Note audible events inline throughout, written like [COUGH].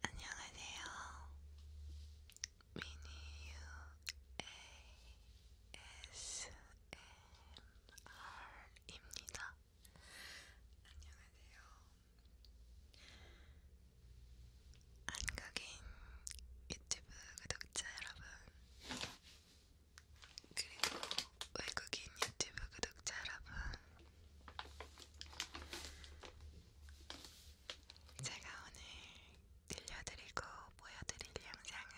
안녕하세요. 미니유 ASMR입니다. 안녕하세요. 한국인 유튜브 구독자 여러분, 그리고 외국인 유튜브 구독자 여러분, 제가 오늘 들려드리고 보여드릴 영상은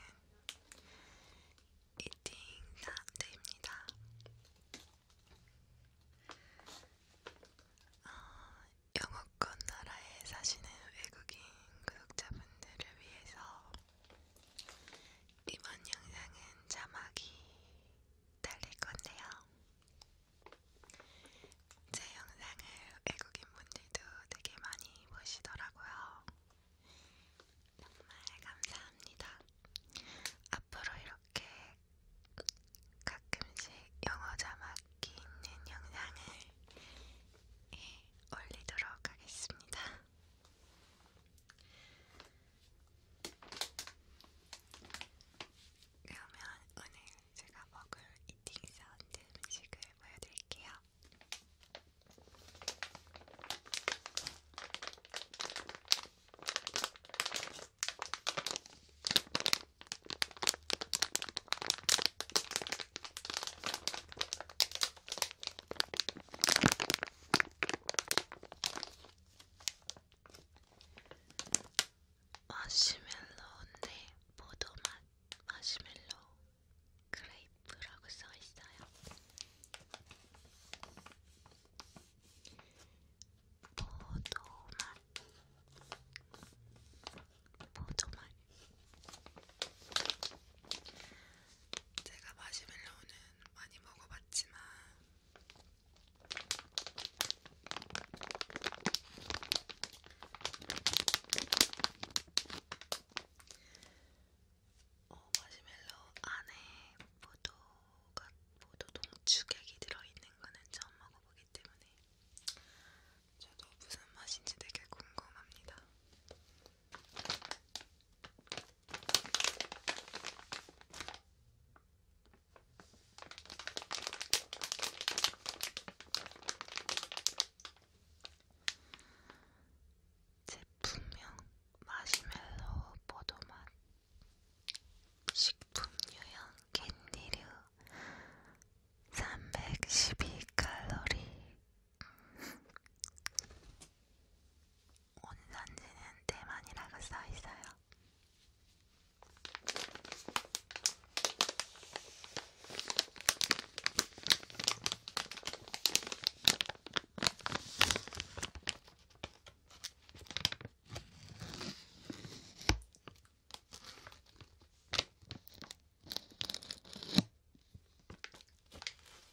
이팅 라운드입니다. 어, 영어권 나라에 사시는 외국인 구독자분들을 위해서 이번 영상은 자막이 달릴 건데요. 제 영상을 외국인 분들도 되게 많이 보시더라고요. 정말 감사합니다. 앞으로 이렇게 가끔씩 영어 자막이 있는 영상을 예, 올리도록 하겠습니다. 그러면 오늘 제가 먹을 이팅 사운드 음식을 보여드릴게요. 마시멜로인데 포도맛 마시멜로 크레이프라고 써있어요. 포도맛 포도맛 제가 마시멜로는 많이 먹어봤지만 어, 마시멜로 안에 포도가 포도 동축액이 들어있는 거는 처음 먹어보기 때문에 저도 무슨 맛인지 되게 궁금합니다. 제품명 마시멜로 포도맛 식품 유형 캔디류 312칼로리 원산지는 대만이라고 써있어요.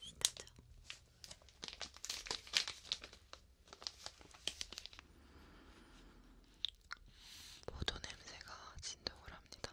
신나죠? 포도 냄새가 진동을 합니다.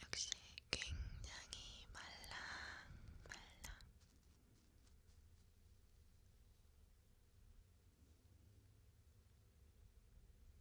역시 굉장히 말랑 말랑.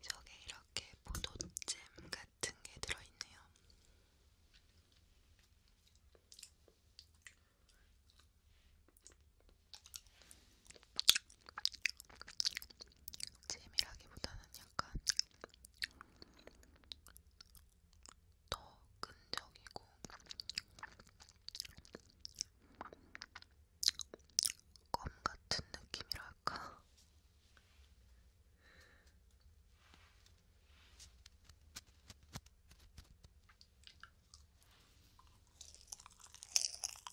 저게 이렇게 포도잼 같은 게 들어있네요. 재미라기보다는 약간 더 끈적이고 껌 같은 느낌이랄까.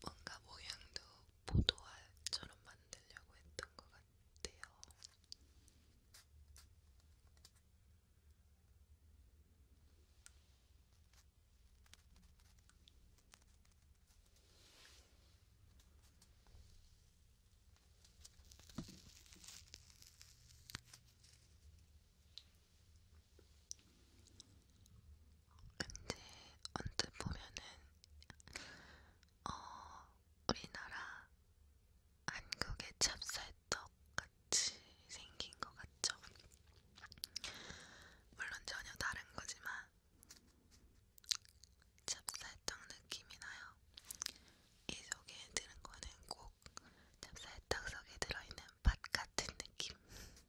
뭔가 모양도 포도알처럼 만들려고 했던 것 같아요. 근데 언뜻 보면은 어 우리나라 한국의 찹쌀떡 같이 생긴 것 같죠? 물론 전혀 다른 거지만 찹쌀떡 느낌이 나요. 이 속에 드는 거는 꼭 찹쌀떡 속에 들어있는 팥 같은 느낌.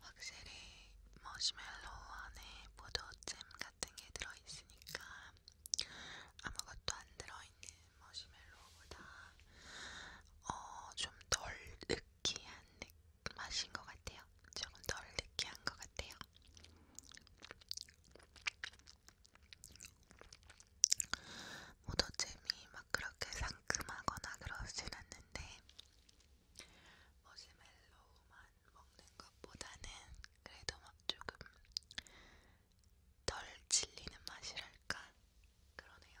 확실히 머시멜로 안에 포도잼 같은 게 들어있으니까 아무것도 안 들어있는 머시멜로보다 어, 좀덜 느끼한 맛인 것 같아요. 조금 덜 느끼한 것 같아요. 포도잼이 막 그렇게 상큼하거나 그러진 않는데 머시멜로우만 먹는 것보다는 그래도 막 조금 덜 질리는 맛이랄까 그러네요.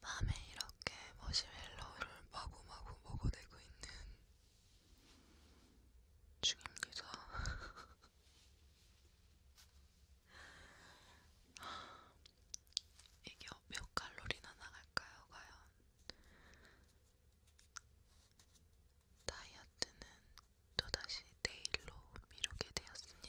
밤에 이렇게 머시멜로우를 마구마구 먹어내고 있는 중입니다. [LAUGHS] 이게 어, 몇 칼로리나 나갈까요, 과연? 다이어트는 또다시 내일로 미루게 되었습니다.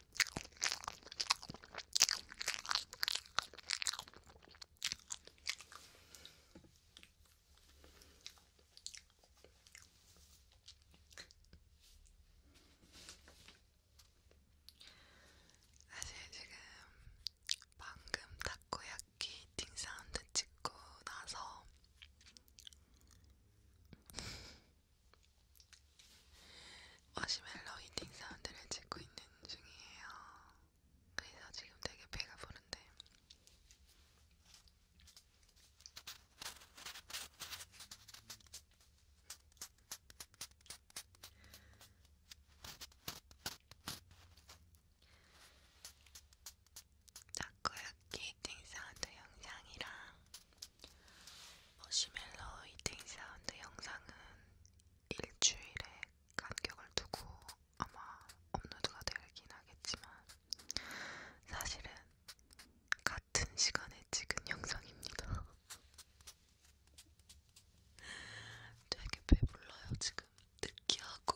사실 지금 방금 타코야끼 이팅 사운드 찍고 나서 마시멜로 히팅 사운드를 찍고 있는 중이에요. 그래서 지금 되게 배가 부른데. 자꾸 이렇게 히팅 사운드 영상이랑 머시멜로 이팅 사운드 영상은 일주일에 간격을 두고 아마 업로드가 되긴 하겠지만 사실은 같은 시간에 찍은 영상입니다. [LAUGHS] 되게 배불러요 지금 느끼하고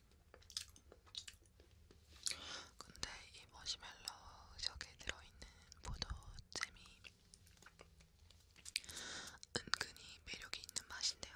근데 이 머시멜로 속에 들어있는 포도잼이 은근히 매력이 있는 맛인데요.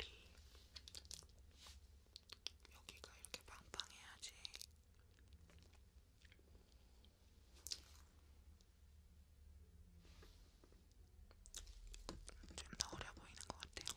볼이 여기가 이렇게 빵빵해야지. 좀 더 어려 보이는 것 같아요.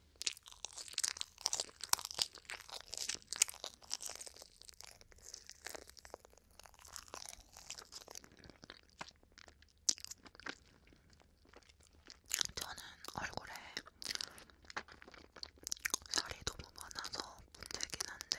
저는 얼굴에 살이 너무 많아서 문제긴 한데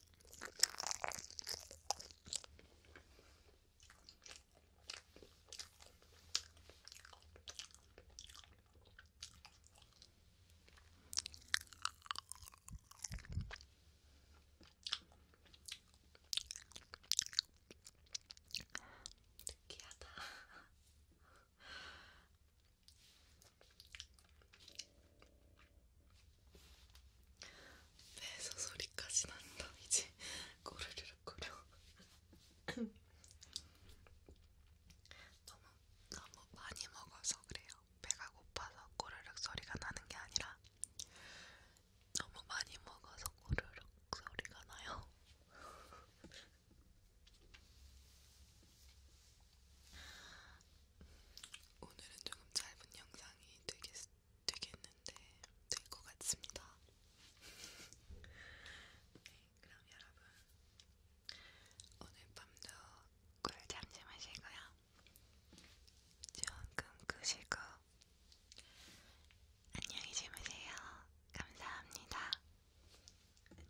느끼하다. 배에서 소리까지 난다. 이제 꼬르르륵 꼬르. 너무 너무 많이 먹어서 그래요. 배가 고파서 꼬르륵 소리가 나는 게 아니라 너무 많이 먹어서 꼬르륵 소리가 나요. 오늘은 조금 짧은 영상이 되겠, 되겠는데 될 것 같습니다. 네, 그럼 여러분 오늘 밤도 꿀잠 주무시고요. 조금 끄시고 안녕히 주무세요. 감사합니다. 안녕.